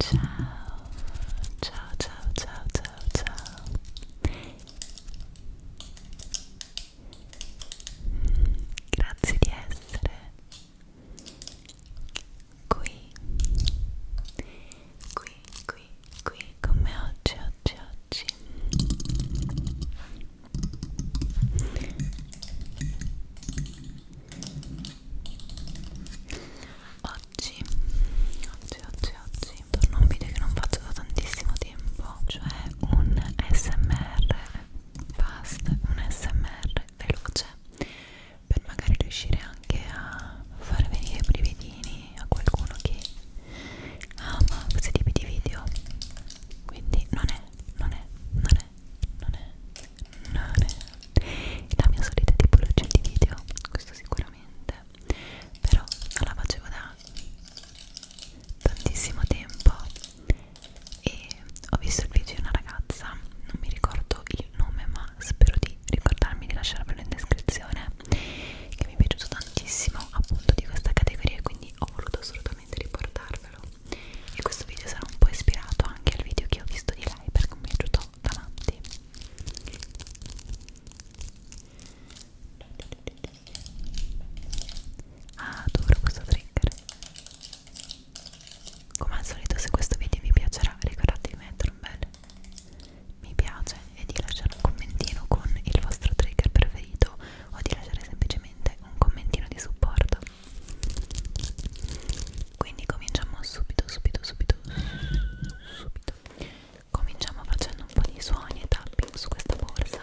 Ciao, ciao, ciao, ciao, ciao, ciao. Mm, grazie di essere qui qui qui qui come oggi oggi oggi Oggi, oggi, oggi, oggi torno a un video che non faccio da tantissimo tempo, cioè un SMR fast, un SMR veloce per magari riuscire anche a far venire i brividini a qualcuno che ama questi tipi di video quindi non è, non è, non è, non è, non è la mia solita tipologia di video questo sicuramente però non la facevo da tantissimo tempo e ho visto il video di una ragazza non mi ricordo il nome ma spero di ricordarmi di lasciarvelo in descrizione che mi è piaciuto tantissimo appunto di questa categoria quindi ho voluto assolutamente riportarvelo e questo video sarà un po' ispirato anche al video che ho visto di lei perché mi è piaciuto da matti ah, adoro questo trigger come al solito se questo video vi piacerà ricordate di mettere un bel mi piace e di lasciare un commentino con il vostro trigger preferito o di lasciare semplicemente un commentino di supporto quindi cominciamo subito subito subito subito cominciamo facendo un po' di suoni e tapping su questa borsa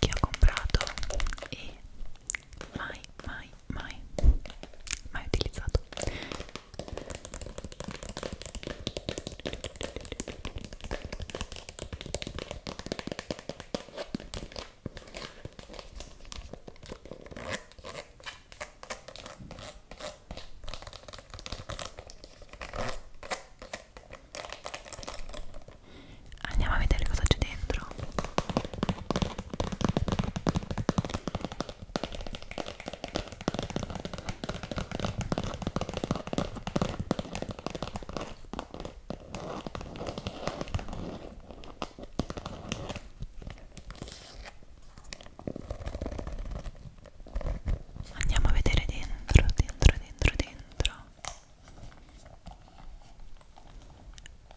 che ho comprato e mai mai mai mai utilizzato andiamo a vedere cosa c'è dentro Andiamo a vedere dentro, dentro, dentro, dentro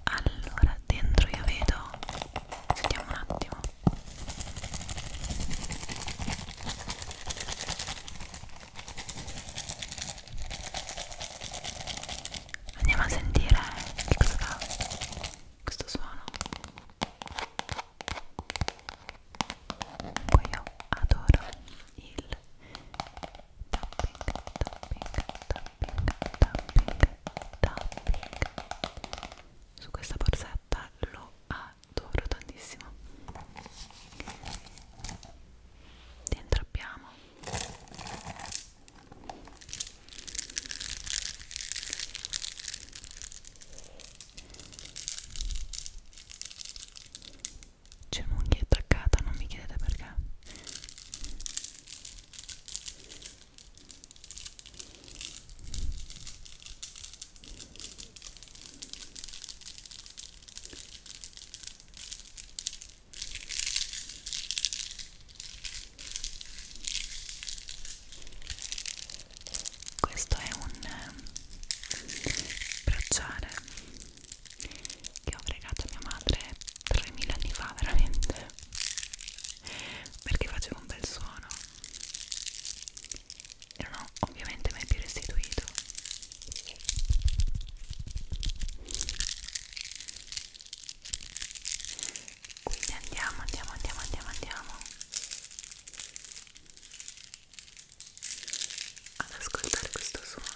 allora dentro io vedo vediamo un attimo andiamo a sentire che cosa fa questo suono comunque io adoro il tapping, tapping, tapping, tapping, tapping su questa borsetta lo adoro tantissimo dentro abbiamo c'è un'unghia attaccata, non mi chiedete perché questo è un eh, bracciale che ho fregato mia madre 3000 anni fa veramente perché facevo un bel suono e non ho ovviamente mai più restituito quindi andiamo andiamo andiamo andiamo andiamo ad ascoltare questo suono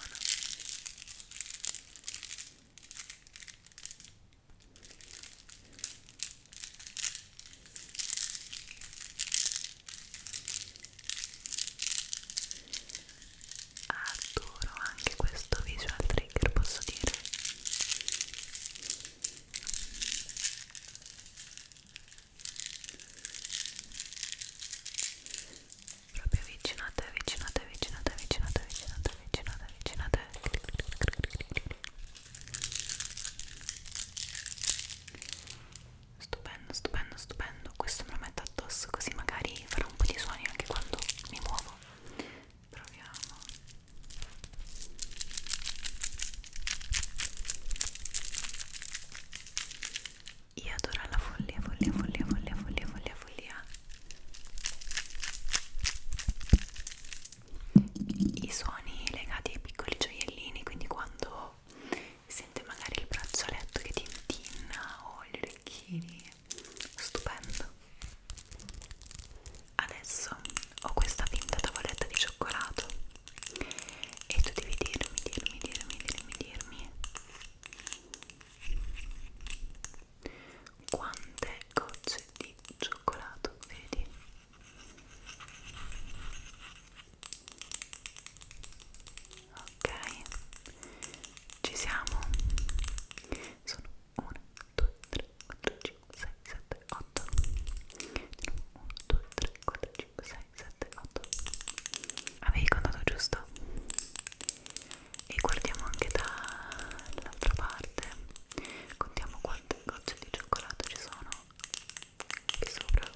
adoro anche questo visual trigger posso dire Proprio avvicinate, avvicinate, avvicinate, avvicinate, avvicinate, avvicinate, avvicinate. Stupendo, stupendo, stupendo. Questo me lo metto addosso così magari farò un po' di suoni anche quando mi muovo. Proviamo. Io adoro la follia, follia, follia, follia, follia, follia, follia. I suoni legati ai piccoli gioiellini, quindi quando sente magari il braccialetto che tintinna o gli orecchini, stupendo. Adesso ho questa finta tavoletta di cioccolato e tu devi dirmi, dirmi, dirmi, dirmi, dirmi quante gocce di cioccolato vedi ok ci siamo sono 1 2 3 4 5 6 7 8 1 2 3 4 5 6 7, 8 avevi contato giusto? e guardiamo anche dall'altra parte contiamo quante gocce di cioccolato ci sono qui sopra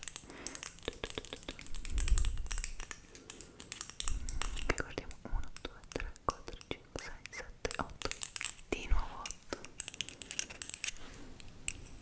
e guardiamo 1, 2, 3, 4, 5, 6, 7, 8 di nuovo 8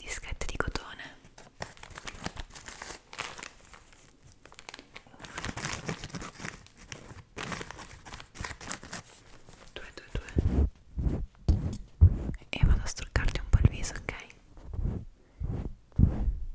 dischette di cotone due due due e vado a struccarti un po' il viso ok Bene.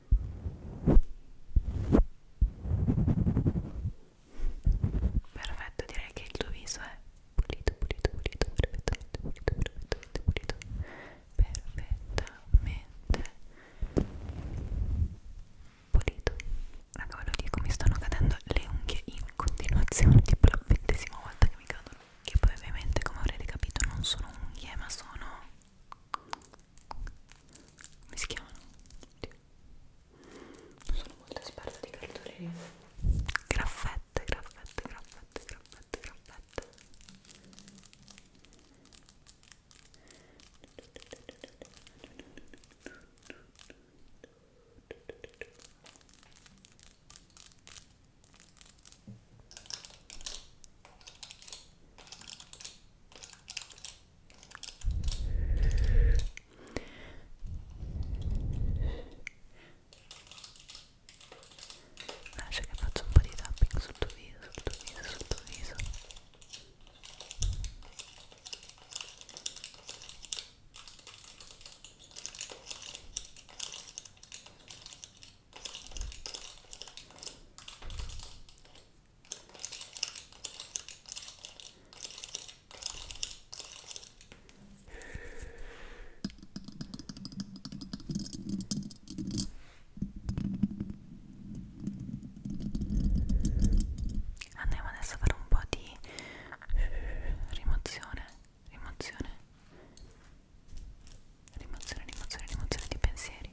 Perfetto, direi che il tuo viso è pulito, pulito, pulito, perfettamente pulito, perfettamente pulito, perfettamente pulito. Raga, ve lo dico, mi stanno cadendo le unghie in continuazione, tipo la ventesima volta che mi cadono. Che poi ovviamente, come avrete capito, non sono unghie, ma sono come si chiamano? Oddio. non sono molto esperta di cartoleria graffette, graffette, graffette, graffette, graffette ok Lascia ah, che faccio un po' di tapping sul tuo viso, sul tuo viso, sul tuo viso. Andiamo adesso a fare un po' di rimozione, rimozione, rimozione, rimozione, rimozione di pensieri.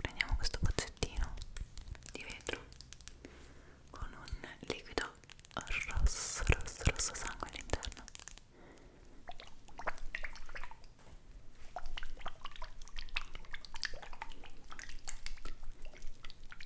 Prendiamo questo pozzettino di vetro con un liquido rosso, rosso, rosso sangue all'interno.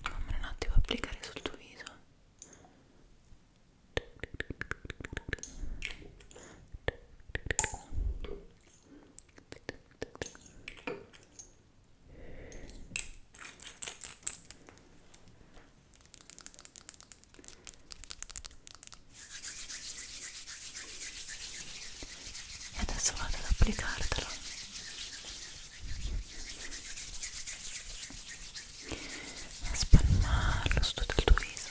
Fammelo un attimo applicare sul tuo viso ok e adesso vado ad applicartelo e a spalmarlo su tutto il tuo viso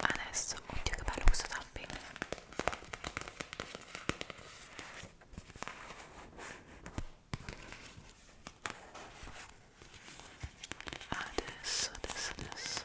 Adesso, oddio che bello questo tapping Adesso, adesso, adesso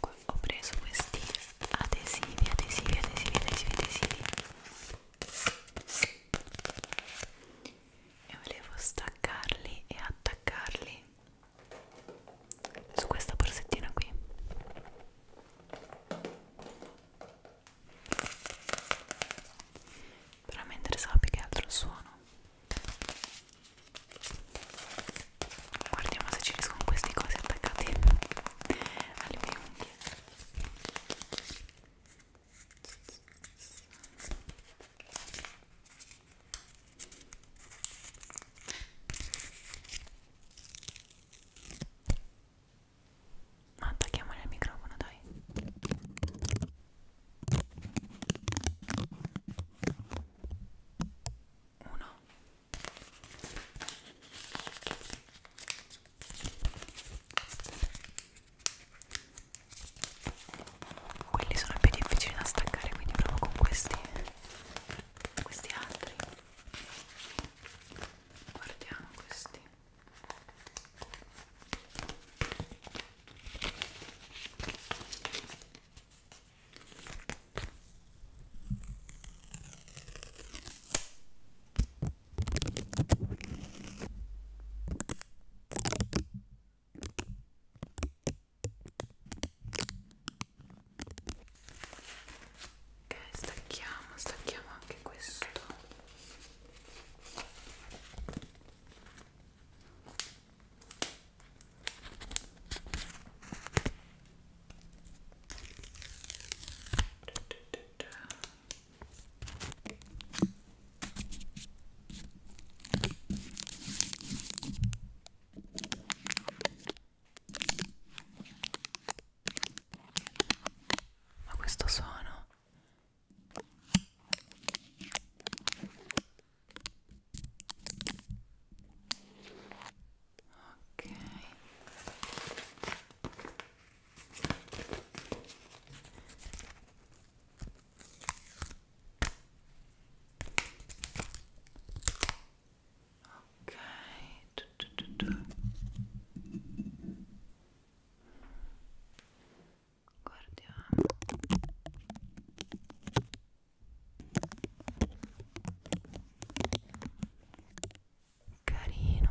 Comunque ho preso questi adesivi, adesivi, adesivi, adesivi, adesivi e volevo staccarli e attaccarli su questa borsettina qui però mi interessava più che altro il suono guardiamo se ci riescono questi cosi attaccati alle mie unghie ma attacchiamo il microfono, dai. Uno quelli sono più difficili da staccare, quindi provo con questi, questi altri. Guardiamo questi. Ok, stacchiamo, stacchiamo anche questo. Ma questo suono ok ok tu, tu, tu, tu. guardiamo ok carino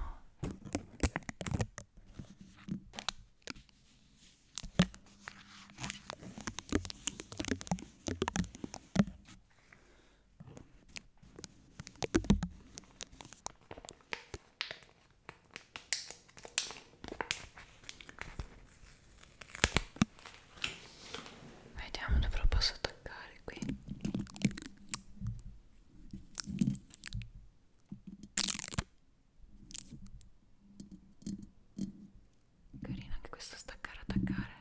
Vediamo dove lo posso attaccare qui. Carino anche questo staccare attaccare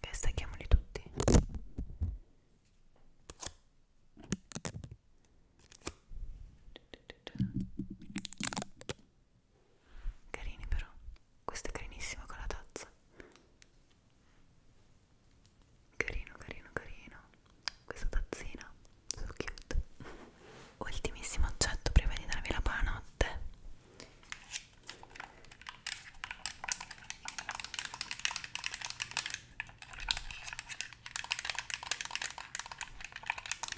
e stacchiamoli tutti Carini però, questo è carinissimo con la tazza. Carino, carino, carino. Questa tazzina, so cute. Ultimissimo oggetto prima di darvi la buonanotte.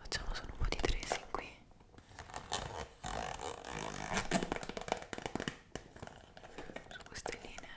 Facciamo solo un po' di tracing qui. Su queste linee.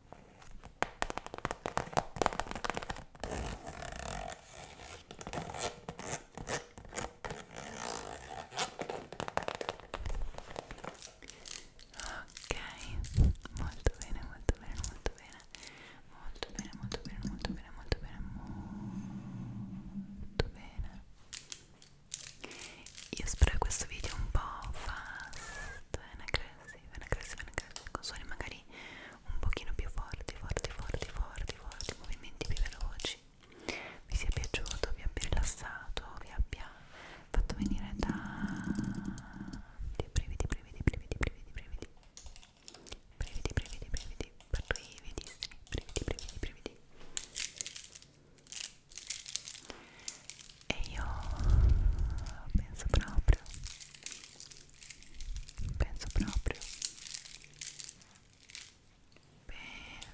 Ok, molto bene, molto bene, molto bene, molto bene, molto bene, molto bene, molto bene, molto bene. Io spero che questo video un po' fa esatto, è una classe, è una classe, è una classe, con suoni magari un pochino più forti, forti, forti, forti, forti, movimenti più veloci. Vi sia piaciuto, vi abbia rilassato, vi abbia fatto venire tanti brividi, brividi, brividi, brividi, brividi. Brividi, brividi, brividi, brividissimi, brividi, brividi, brividi e io penso proprio penso proprio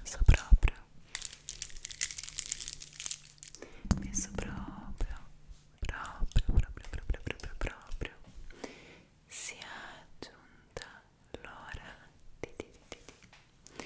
penso proprio penso proprio proprio proprio proprio proprio proprio si è aggiunta l'ora di, di, di, di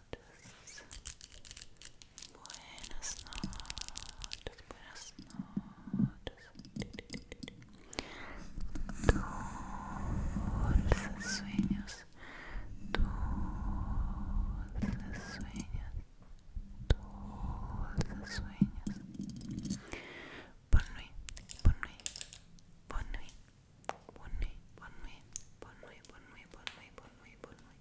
noches. Buenas noches, buenas noches. Dulces sueños, dulces sueños, dulces sueños. Bonne nuit, bonne bonne bonne bonne bonne bonne bonne bonne bonne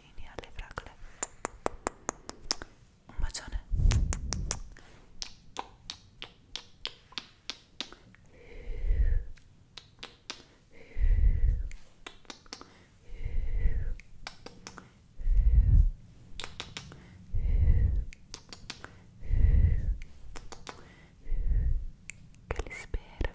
vicini alle fragole un bacione che li spero